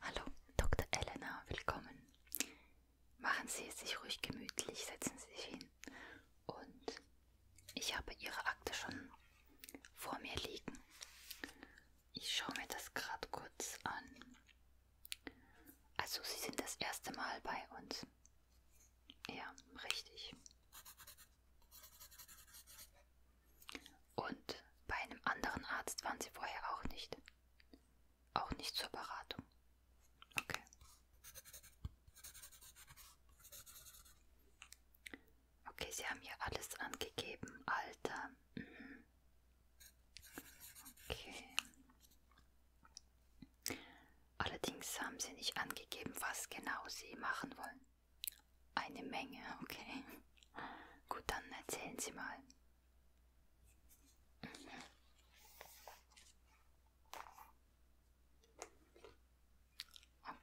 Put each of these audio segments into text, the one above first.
Hallo, Dr. Elena, willkommen. Machen Sie es sich ruhig gemütlich, setzen Sie sich hin. Und ich habe Ihre Akte schon vor mir liegen. Ich schaue mir das gerade kurz an. Also, Sie sind das erste Mal bei uns. Ja, richtig. Und bei einem anderen Arzt waren sie vorher auch nicht. Auch nicht zur Beratung. Okay. Okay, sie haben hier alles angegeben. Alter. Mhm. Okay. Allerdings haben sie nicht angegeben, was genau sie machen wollen. Eine Menge, okay. Gut, dann erzählen Sie mal. Mhm.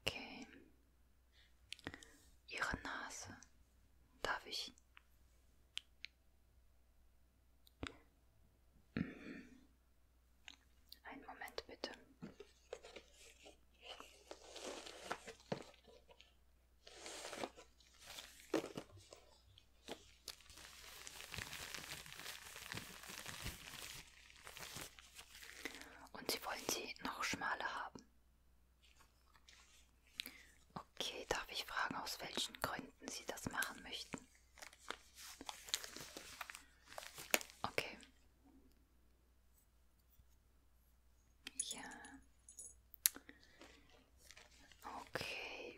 Okay. Ihre Nase. Darf ich? Mhm. Einen Moment bitte. Und Sie wollen sie noch schmaler haben. Okay, darf ich fragen, aus welchen Gründen Sie das machen möchten? Okay. Ja. Okay.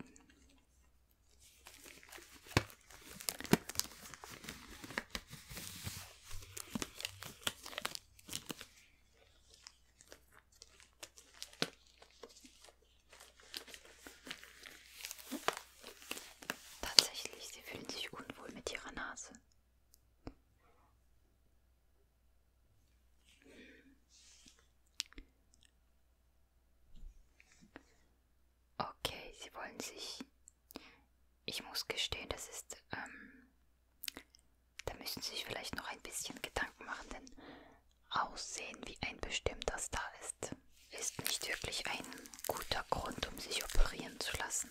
Tatsächlich, sie fühlen sich unwohl mit ihrer Nase. Okay, sie wollen sich. Ich muss gestehen, das ist. Ähm, da müssen Sie sich vielleicht noch ein bisschen Gedanken machen, denn Aussehen, wie ein bestimmter Star ist, ist nicht wirklich ein guter Grund, um sich operieren zu lassen.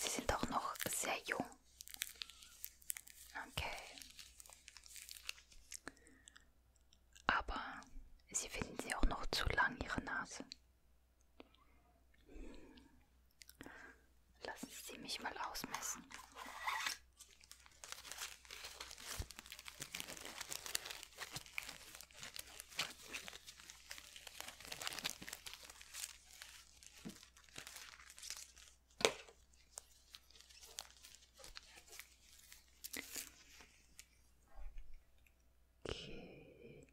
Sie sind auch noch sehr jung. Okay. Aber Sie finden sie auch noch zu lang, Ihre Nase. Lassen Sie mich mal ausmessen. Okay. Okay.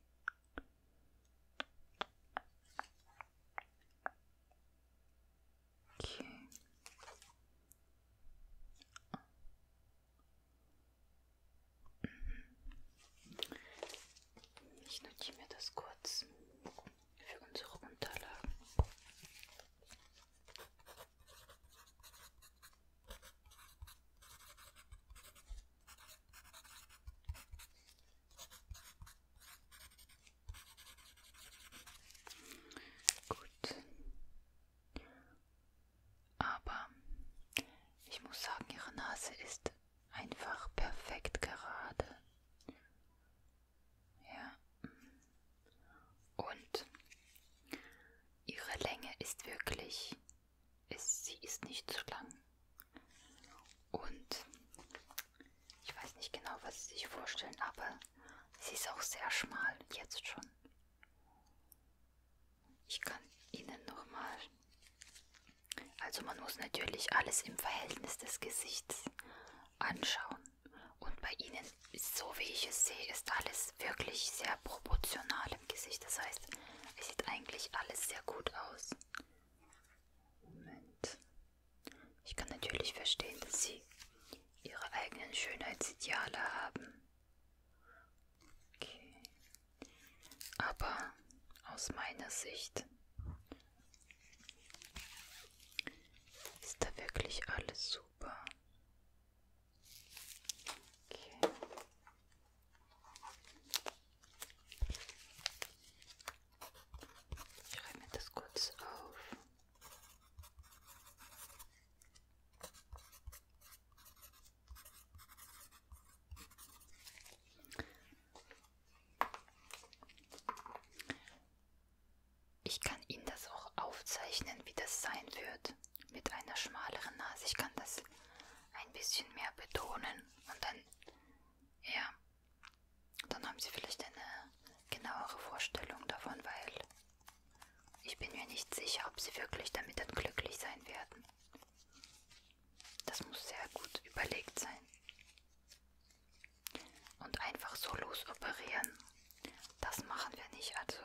Ich notiere mir das kurz für unsere Unterlagen. Gut. Aber ich muss sagen, ihre Nase ist einfach perfekt gerade. Ja. Und ihre Länge ist wirklich, ist, sie ist nicht zu lang. Und ich weiß nicht genau, was Sie sich vorstellen, aber sie ist auch sehr schmal, jetzt schon. Ich kann Ihnen nochmal also man muss natürlich alles im Verhältnis des Gesichts anschauen. Und bei ihnen, so wie ich es sehe, ist alles wirklich sehr proportional im Gesicht. Das heißt, es sieht eigentlich alles sehr gut aus. Moment. Ich kann natürlich verstehen, dass sie ihre eigenen Schönheitsideale haben. Okay. Aber aus meiner Sicht ist da wirklich alles super? Okay. Ich schreibe mir das kurz auf. Ich kann Ihnen das auch aufzeichnen, wie das sein wird. Mit einer schmaleren Nase. Ich kann das ein bisschen mehr betonen und dann, ja, dann haben Sie vielleicht eine genauere Vorstellung davon, weil ich bin mir nicht sicher, ob Sie wirklich damit dann glücklich sein werden. Das muss sehr gut überlegt sein. Und einfach so losoperieren, das machen wir nicht. Also,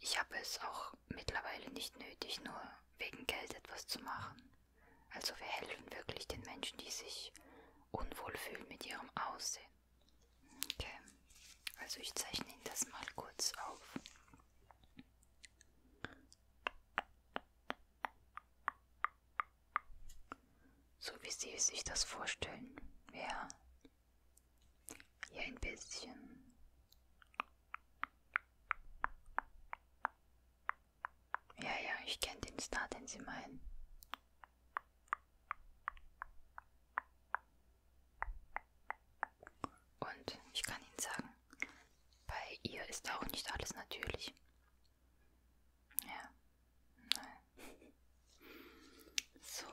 ich habe es auch mittlerweile nicht nötig, nur wegen Geld etwas zu machen. Also, wir helfen wirklich den Menschen, die sich unwohl fühlen mit ihrem Aussehen. Okay, also ich zeichne Ihnen das mal kurz auf. So wie Sie sich das vorstellen. Ja. Hier ein bisschen. Ja, ja, ich kenne den Star, den Sie meinen. Und ich kann Ihnen sagen, bei ihr ist auch nicht alles natürlich. Ja. Nein. So,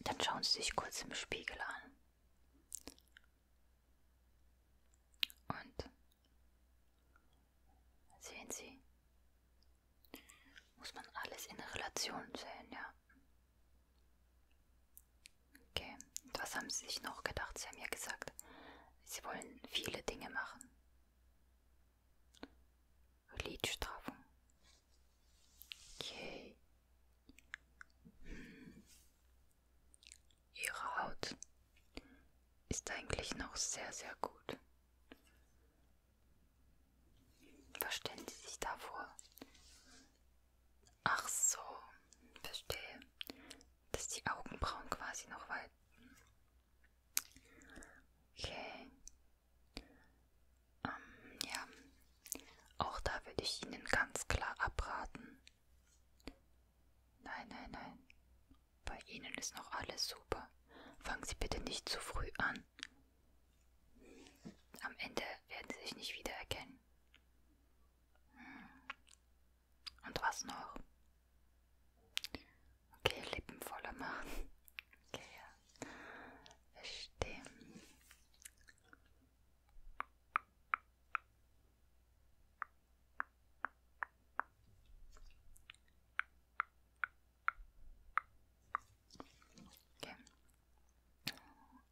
dann schauen Sie sich kurz im Spiegel an. Und sehen Sie, muss man alles in Relation sehen, ja. Okay, und was haben Sie sich noch gedacht? Sie haben ja gesagt, Sie wollen viele Dinge machen. Liedstrafung. Okay. Hm. Ihre Haut ist eigentlich noch sehr, sehr gut. Verstehen Sie sich davor? Ach so, verstehe. Dass die Augenbrauen quasi noch weit. Okay. Ähm, ja. Auch da würde ich Ihnen ganz klar abraten. Nein, nein, nein. Bei Ihnen ist noch alles super. Fangen Sie bitte nicht zu früh an. Am Ende werden Sie sich nicht wiedererkennen. Hm. Und was noch? Okay, Lippen voller machen. Okay, ja. Verstehe. Okay.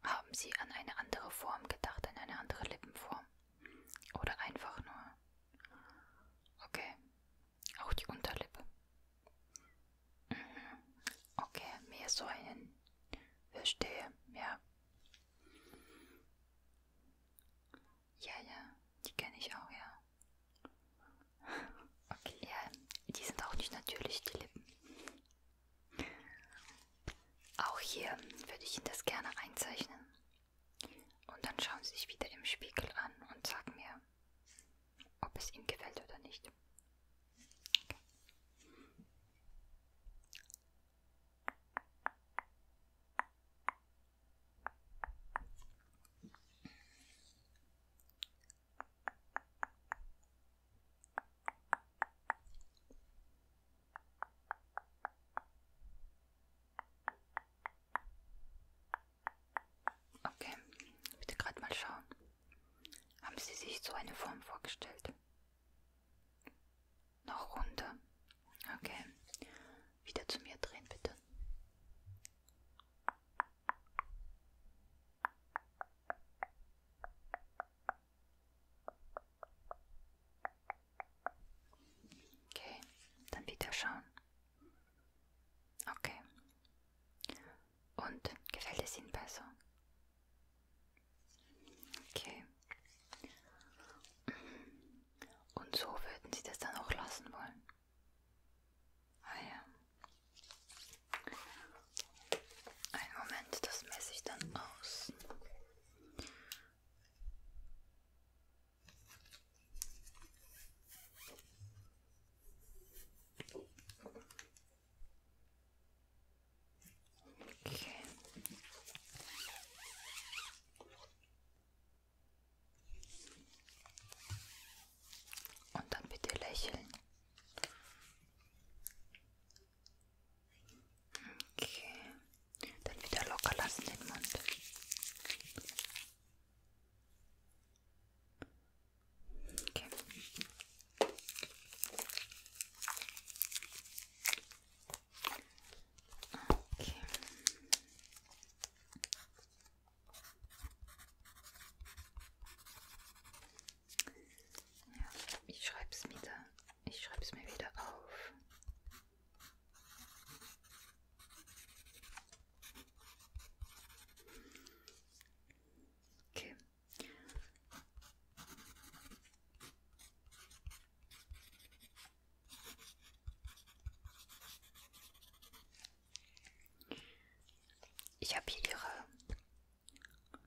Haben Sie an eine andere Form gedacht, an eine andere Lippenform? Oder einfach nur. Okay. Auch die Unterlippe. Mhm. Okay, mehr Säulen. Verstehe, ja. Ja, ja, die kenne ich auch, ja. Okay, ja, die sind auch nicht natürlich, die Lippen. Auch hier würde ich Ihnen das gerne einzeichnen. Und dann schauen Sie sich wieder im Spiegel an und sagen mir, ob es Ihnen gefällt oder nicht. Okay. Okay, bitte gerade mal schauen. Haben Sie sich so eine Form vorgestellt? Noch runter. Okay. Wieder zu mir drehen, bitte. Okay, dann wieder schauen. Okay. Und gefällt es Ihnen besser? Okay. Und so würden Sie das dann auch lassen wollen? Ah ja. Einen Moment, das messe ich dann aus. Okay. Okay. Und dann bitte lächeln. Okay. Dann wieder locker lassen den Mund. Okay. Okay. Ja, ich schreibe es wieder ich schreibe es mir wieder auf. Okay. Ich habe hier ihre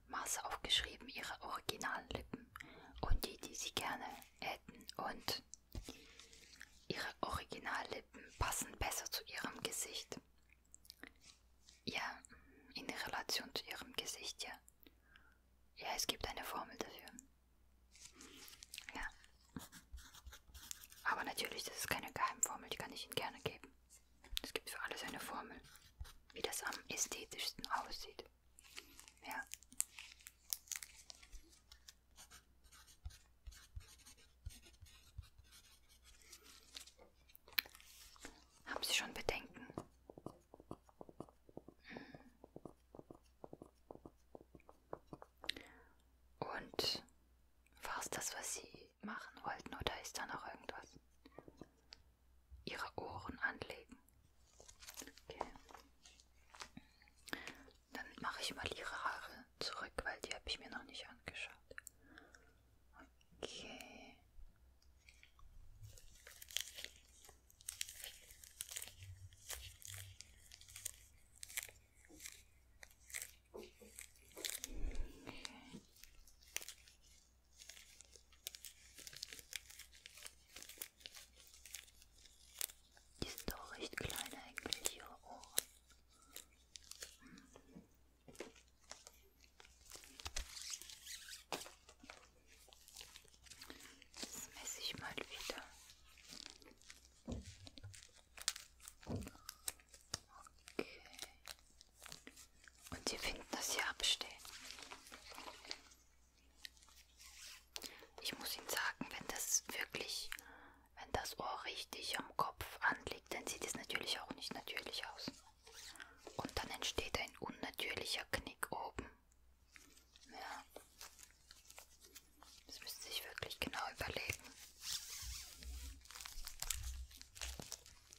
Maß aufgeschrieben ihre originalen Lippen und die, die sie gerne hätten und ihre Originallippen passen besser zu ihrem Gesicht. Ja, in Relation zu ihrem Gesicht, ja. Ja, es gibt eine Formel dafür. Ja. Aber natürlich, das ist keine Geheimformel, die kann ich Ihnen gerne geben. Es gibt für alles eine Formel, wie das am ästhetischsten aussieht. Ja. Haben Sie schon Bedenken? Hm. Und war es das, was Sie machen wollten, oder ist da noch irgendwas? ihre Ohren anlegen. Okay. Dann mache ich mal ihre Haare zurück, weil die habe ich mir noch nicht angeschaut. Okay. Okay. Die sind auch recht klein eigentlich, ihre Ohren. Hm. Das messe ich mal wieder. Okay. Und sie finden das hier abstehen. Ich muss Ihnen sagen, wenn das wirklich, wenn das Ohr richtig am Kopf anliegt, dann sieht es natürlich auch nicht natürlich aus. Und dann entsteht ein unnatürlicher Knick oben. Ja. Das müssen Sie sich wirklich genau überlegen.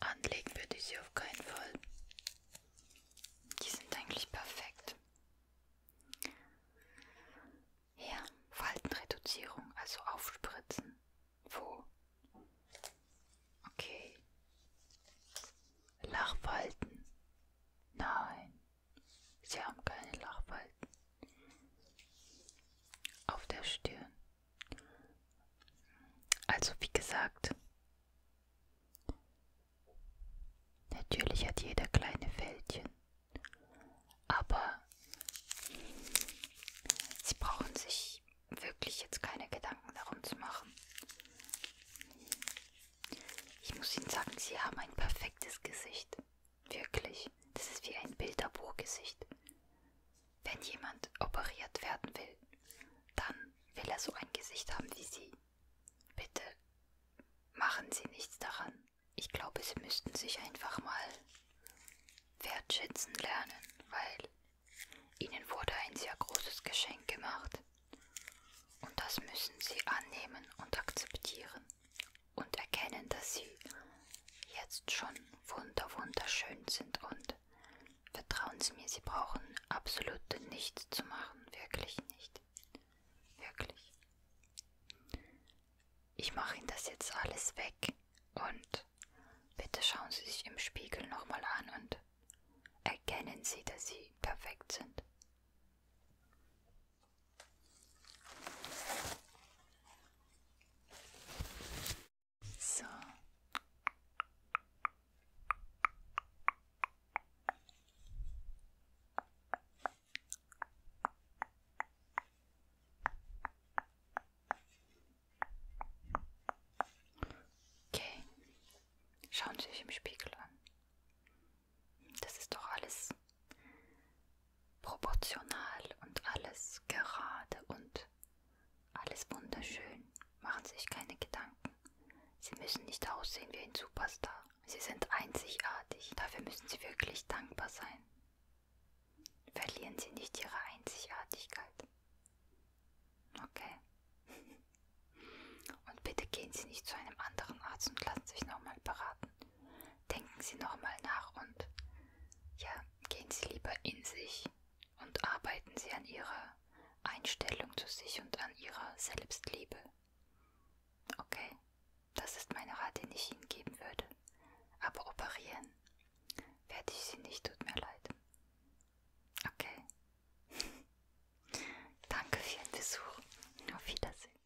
Anlegen würde ich sie auf keinen Fall. Die sind eigentlich perfekt. Ja, Faltenreduzierung, also aufspritzen. Wo? Okay. Lachfalten. Nein. Sie haben keine Lachfalten auf der Stirn. Also wie gesagt, natürlich hat jeder kleine Fältchen, aber sie brauchen sich wirklich jetzt keine Gedanken darum zu machen. Ich muss Ihnen sagen, Sie haben ein perfektes Gesicht. Wirklich, das ist wie ein Bilderbuchgesicht. Wenn jemand operiert werden will, dann will er so ein Gesicht haben wie Sie. Bitte machen Sie nichts daran. Ich glaube, Sie müssten sich einfach mal wertschätzen lernen, weil Ihnen wurde ein sehr großes Geschenk gemacht. Und das müssen Sie annehmen und akzeptieren und erkennen, dass sie jetzt schon wunder wunderschön sind und vertrauen Sie mir, Sie brauchen absolut nichts zu machen, wirklich nicht. Wirklich. Ich mache Ihnen das jetzt alles weg und bitte schauen Sie sich im Spiegel nochmal an und erkennen Sie, dass Sie perfekt sind. So. Okay, schauen Sie sich im Spiegel an. Das ist doch alles proportional und alles gerade und alles wunderschön. Machen Sie sich keine Gedanken. Sie müssen nicht aussehen wie ein Superstar. Sie sind einzigartig. Dafür müssen Sie wirklich dankbar sein. Verlieren Sie nicht Ihre Einzigartigkeit. Okay. Und bitte gehen Sie nicht zu einem anderen Arzt und lassen sich nochmal beraten. Denken Sie nochmal nach und ja, gehen Sie lieber in sich und arbeiten Sie an Ihrer Einstellung zu sich und an Ihrer Selbstliebe. Okay, das ist mein Rat, den ich Ihnen geben würde. Aber operieren werde ich Sie nicht, tut mir leid. Okay. Danke für Ihren Besuch. Auf Wiedersehen.